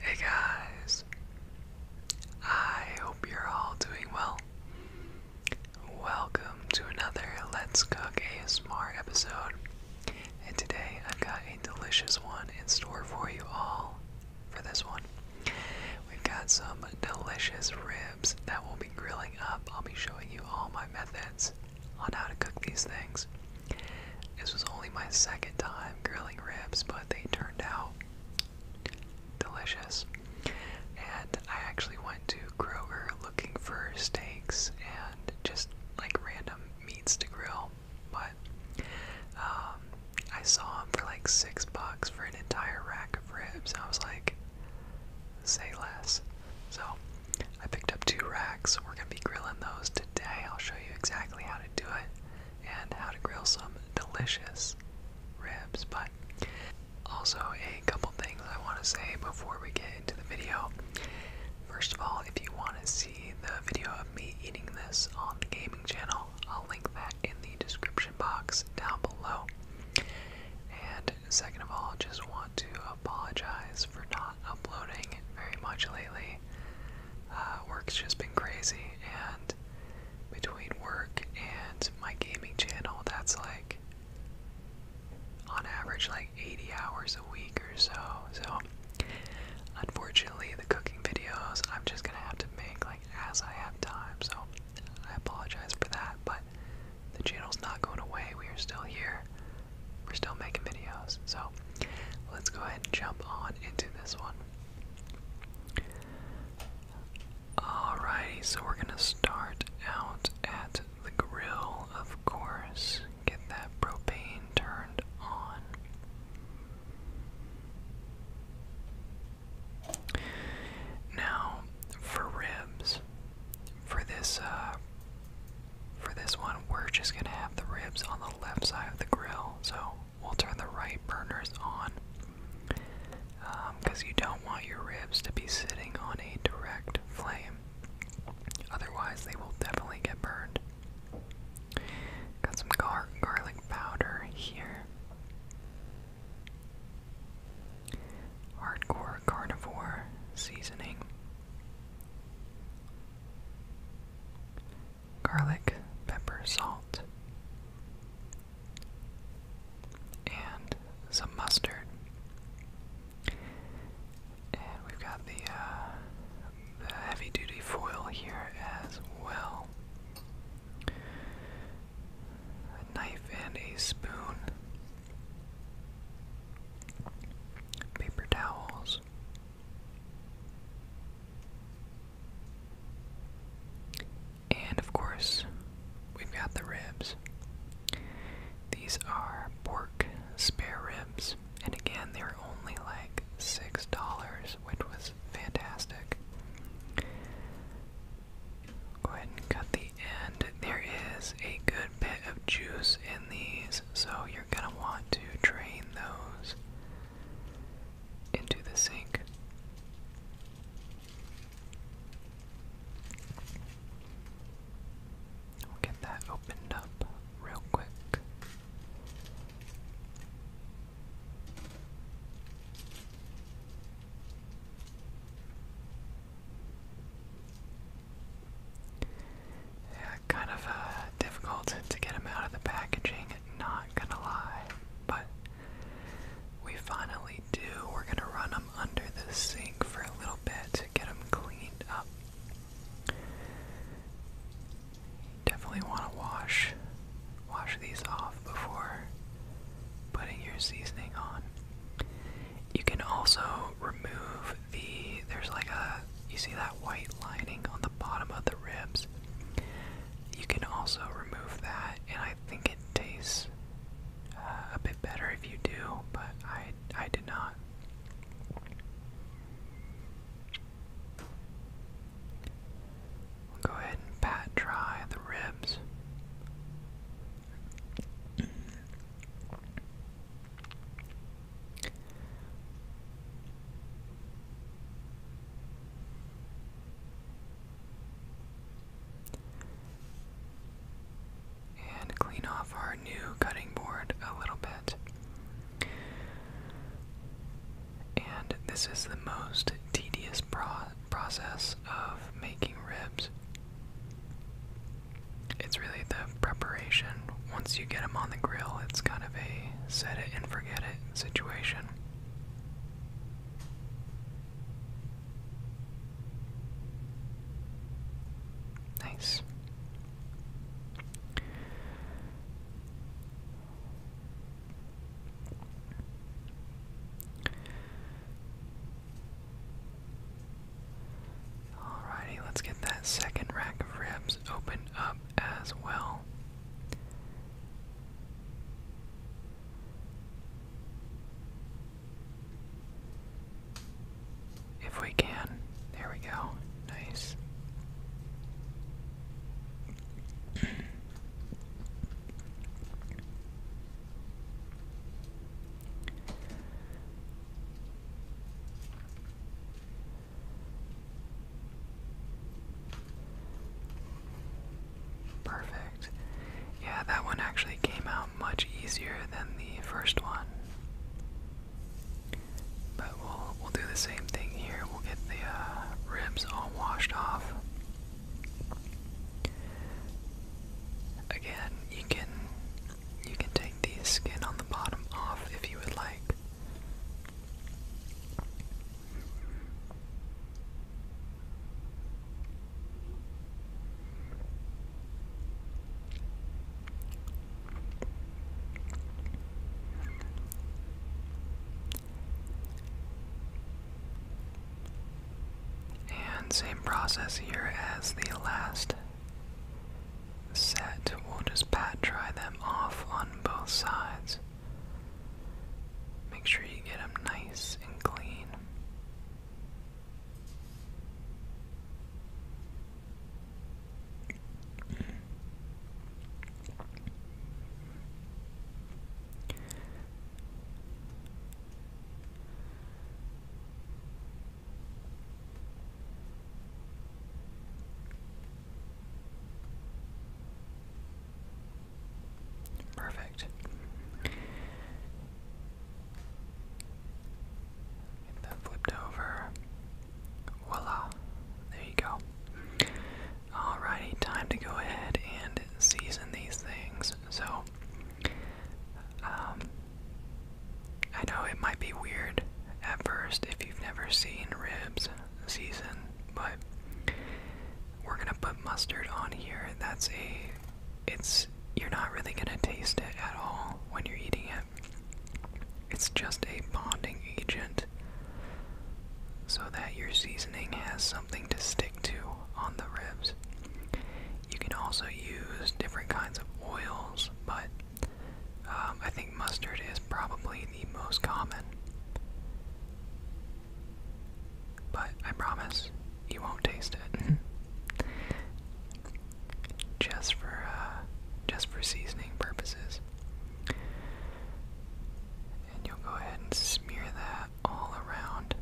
Hey guys, I hope you're all doing well. Welcome to another Let's Cook ASMR episode, and today I've got a delicious one in store for you all. For this one, we've got some delicious ribs that we'll be grilling up. I'll be showing you all my methods on how to cook these things. This was only my second time grilling ribs, but they turned out delicious. And I actually went to Kroger looking for steaks and just like random meats to grill, but um, I saw them for like six bucks for an entire rack of ribs. I was like, say less. So I picked up two racks. We're gonna be grilling those today. I'll show you exactly how to do it and how to grill some delicious ribs. But also, a couple things I want to say before we get into the video. First of all, if you want to see the video of me eating this on the gaming channel, I'll link that in the description box down below. And second of all, just want to apologize for not uploading very much lately. Uh, work's just been crazy, and between work and my gaming channel, that's like on average like 80 hours a week or so. So, unfortunately, the cooking videos I'm just gonna have to make like as I have time. So, I apologize for that, but the channel's not going away. We are still here. We're still making videos. So, Let's go ahead and jump on into this one. Alrighty, so we're gonna start out at the grill, of course. Get that propane turned on. Now, for ribs, for this uh, for this one, we're just gonna have the ribs on the left side of the grill, so we'll turn the right burners on because um, you don't want your ribs to be sitting on a direct flame, otherwise, they will definitely get burned. Got some garlic powder here. Hardcore carnivore seasoning garlic, pepper, salt, and some mustard. And we've got uh, the, heavy duty foil here as well. A knife and a spoon. Paper towels. And of course, we've got the ribs. These are pork spare ribs, and again, they are only like six dollars, which was fantastic. Go ahead and cut the end. There is a good bit of juice in these, so you're gonna want to trade those into the sink. We'll get that opened up real quick. Yeah, kind of uh, difficult to get them out of the packaging, not gonna lie. But we finally do. We're gonna run them under the sink for a little bit to get them cleaned up. Definitely want to wash, wash these off before putting your seasoning on. You can also remove there's like a you see that white lining on the bottom of the ribs. You can also remove that, and I think it tastes uh, a bit better if you do, but I I did not. we go ahead and pat dry the ribs. And clean off our new cutting board a little bit. And this is the most tedious pro process of making ribs it's really the preparation. Once you get them on the grill, it's kind of a set it and forget it situation. Nice. Alrighty, let's get that second rack of ribs opened up as well. If we can. There we go. Nice. Perfect. Yeah, that one actually came out much easier than the first one. But we'll we'll do the same thing here. We'll get the uh, ribs all washed off. Again, you can you can take the skin on the bottom off if you would like. And same process here as the last set, we'll just pat dry them off on both sides. Make sure you get them nice and clean. Perfect. Get that flipped over. Voila. There you go. Alrighty, time to go ahead and season these things. So um, I know it might be weird at first if you've never seen ribs season, but we're gonna put mustard on here. That's a, it's, you're not really gonna taste it at all when you're eating it. It's just a bonding agent so that your seasoning has something to stick to on the ribs. You can also use different kinds of oils, but um, I think mustard is probably the most common. But I promise you won't taste it. just for uh, just for seasoning purposes. And you'll go ahead and smear that all around.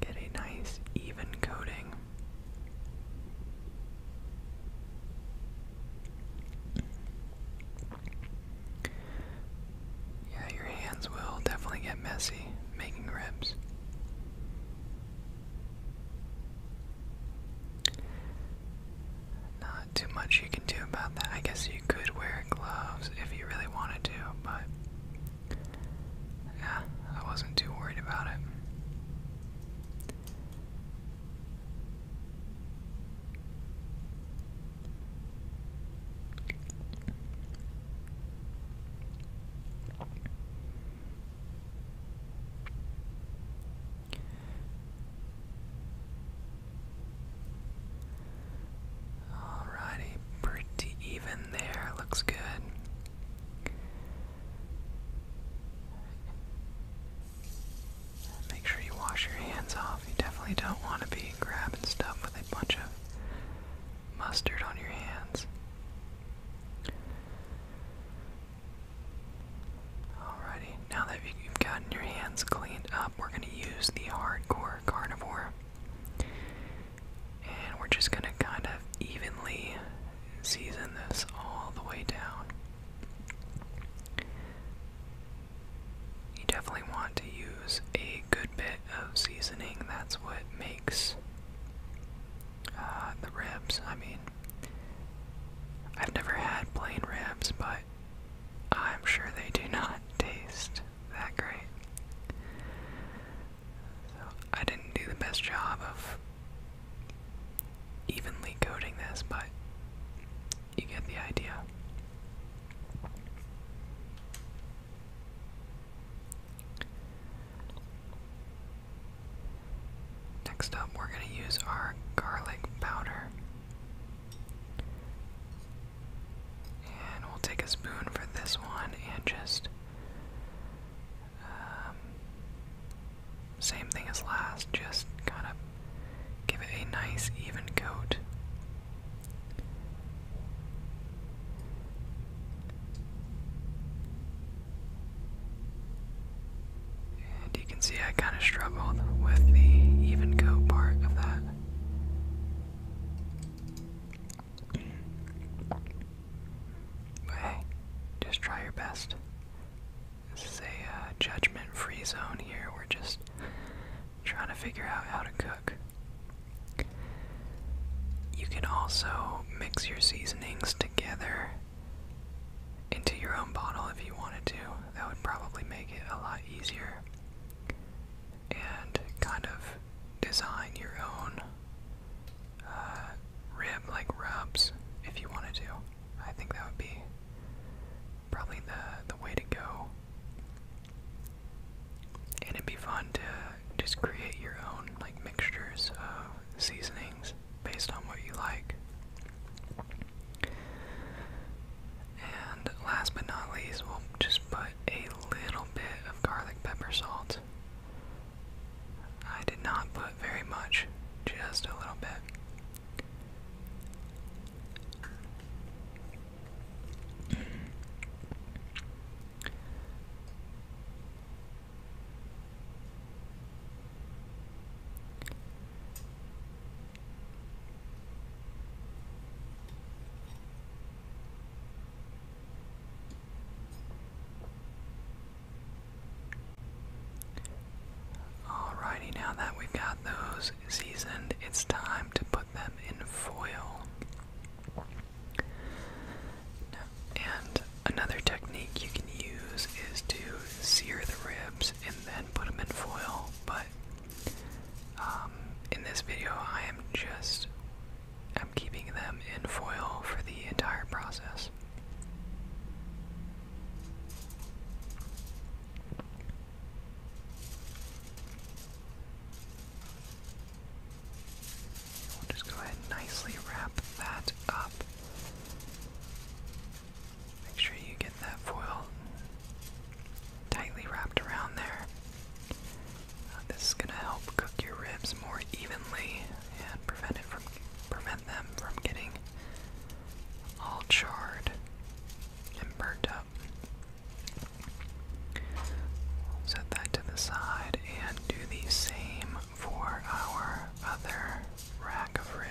Get a nice even coating. Yeah, your hands will definitely get messy making ribs. Not too much you can do about that. I guess you could wear gloves if you really wanted to, but yeah, I wasn't too worried about it. Alrighty, pretty even there. Looks good. Make sure you wash your hands off. You definitely don't want to be grabbing stuff with a bunch of mustard on your hands. Alrighty, now that you've gotten your hands cleaned up, we're going to use the hardcore carnivore. And we're just gonna kind of evenly season this all the way down. You definitely want to use a good bit of seasoning, that's what makes uh, the ribs. I mean, I've never had plain ribs, but I'm sure they do not taste that great. So I didn't do the best job of evenly coating this, but you get the idea. Next up, we're going to use our garlic powder. And we'll take a spoon for this one and just. Um, same thing as last, just kind of give it a nice even coat. And you can see I kind of struggled with the even coat part of that. But hey, just try your best. This is a uh, judgment-free zone here. We're just trying to figure out how to cook. You can also mix your seasonings together into your own bottle if you wanted to. That would probably make it a lot easier and kind of design your own uh, rib like rubs if you wanted to. I think that would be probably the the way to go. And it'd be fun to just create your own like mixtures of seasonings based on what you like. And last but not least, we'll just put a little bit of garlic pepper salt. I did not put very much, just a little bit. Alrighty, now that we've got those seasoned, it's time to put them in foil. And another technique you can use is to sear the ribs and then put them in foil, but um, in this video, I am just I'm keeping them in foil for the entire process. We'll just go ahead and nicely wrap that up. Make sure you that foil tightly wrapped around there. Uh, this is going to help cook your ribs more evenly and prevent it from prevent them from getting all charred and burnt up. Set that to the side and do the same for our other rack of ribs.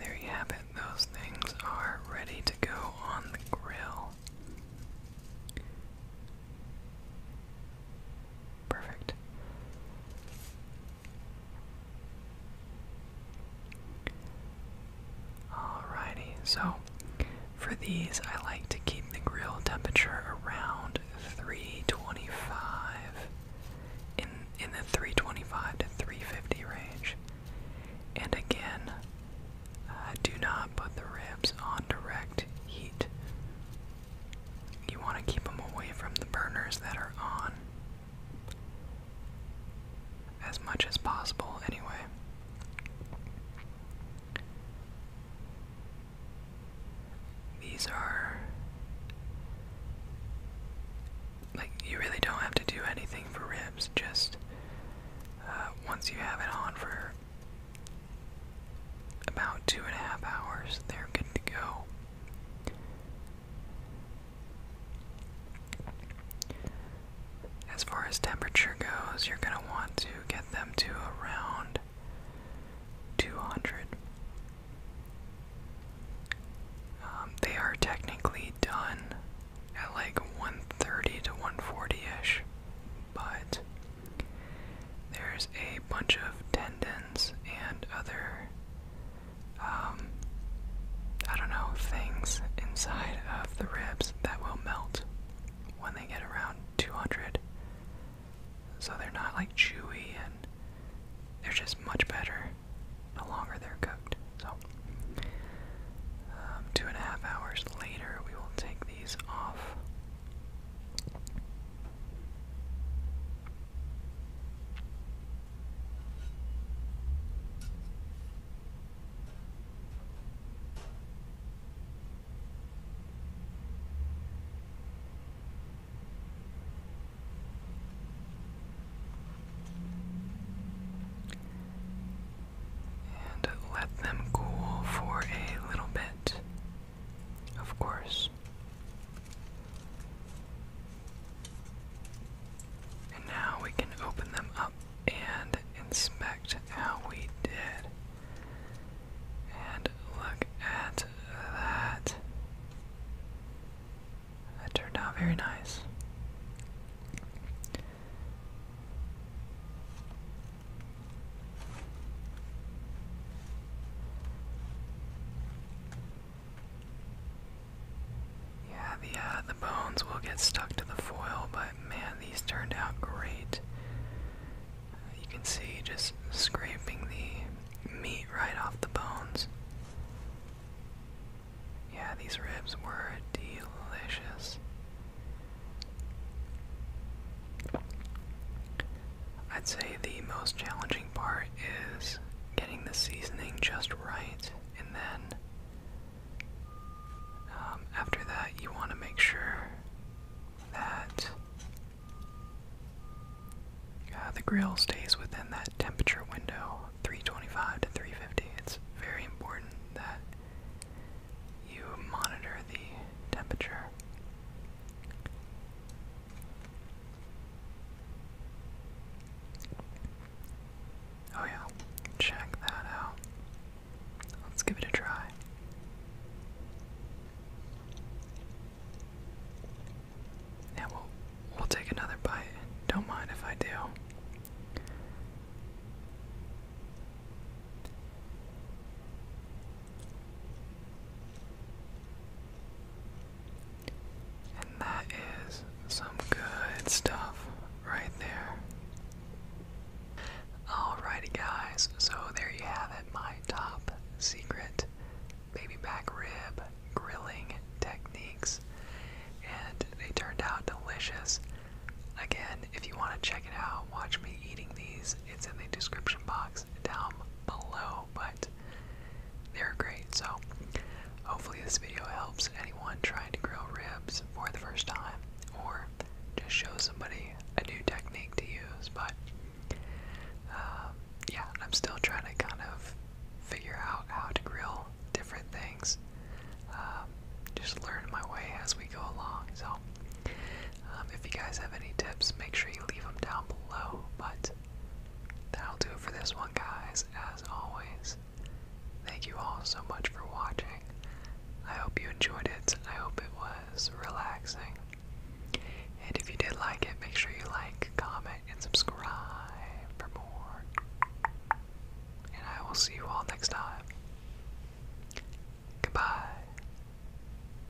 there you have it, those things are ready to go on the grill. Perfect. Alrighty, so for these, I like to keep the grill temperature around 325 in in the 325 to 350 range. And again, uh, do not put the ribs on direct heat. You want to keep them away from the burners that are on. As much as possible, anyway. These are. Like, you really don't have to do anything for ribs, just uh, once you have it on for about two and a half hours, they're good to go. As far as temperature goes, you're going to want to get them to around 200. Um, they are technically done at like 130 to 140-ish, but there's a bunch of tendons and other um, I don't know, things inside of the ribs that will melt when they get around 200. So they're not like chewy and they're just much better the longer they're cooked. So, um, two and a half hours later, we will take these off. And let them cool for a little bit. Of course. And now we can open them up and inspect how we did. And look at that. That turned out very nice. Yeah, the uh, the bones will get stuck to the foil, but man, these turned out great. you can see just scraping the meat right off the bones. Yeah, these ribs were delicious. I'd say the most challenging part is getting the seasoning just right, and then um, after that, you want to make sure that uh, the grill stays within that temperature window 325 to 350. It's very important that you monitor the temperature. Oh, yeah, check that out. Let's give it a try. Yeah, we'll, we'll take another bite. Don't mind if I do. And that is some good stuff right there. Alrighty, guys, so there you have it my top secret baby back rib grilling techniques. And they turned out delicious. Again, if you want to check it out, watch me eating these. It's in the description box down below, but they're great. So hopefully this video helps anyone trying to grill ribs for the first time or just show somebody a new technique to use. But um, yeah, I'm still trying to kind of figure out how to grill different things. Um, just learn my way as we go along. So um, if you guys have any tips, make sure you leave them down below. But that'll do it for this one, guys. As always, thank you all so much for watching. I hope you enjoyed it. I hope it was relaxing. And if you did like it, make sure you like, comment, and subscribe for more. And I will see you all next time. Goodbye.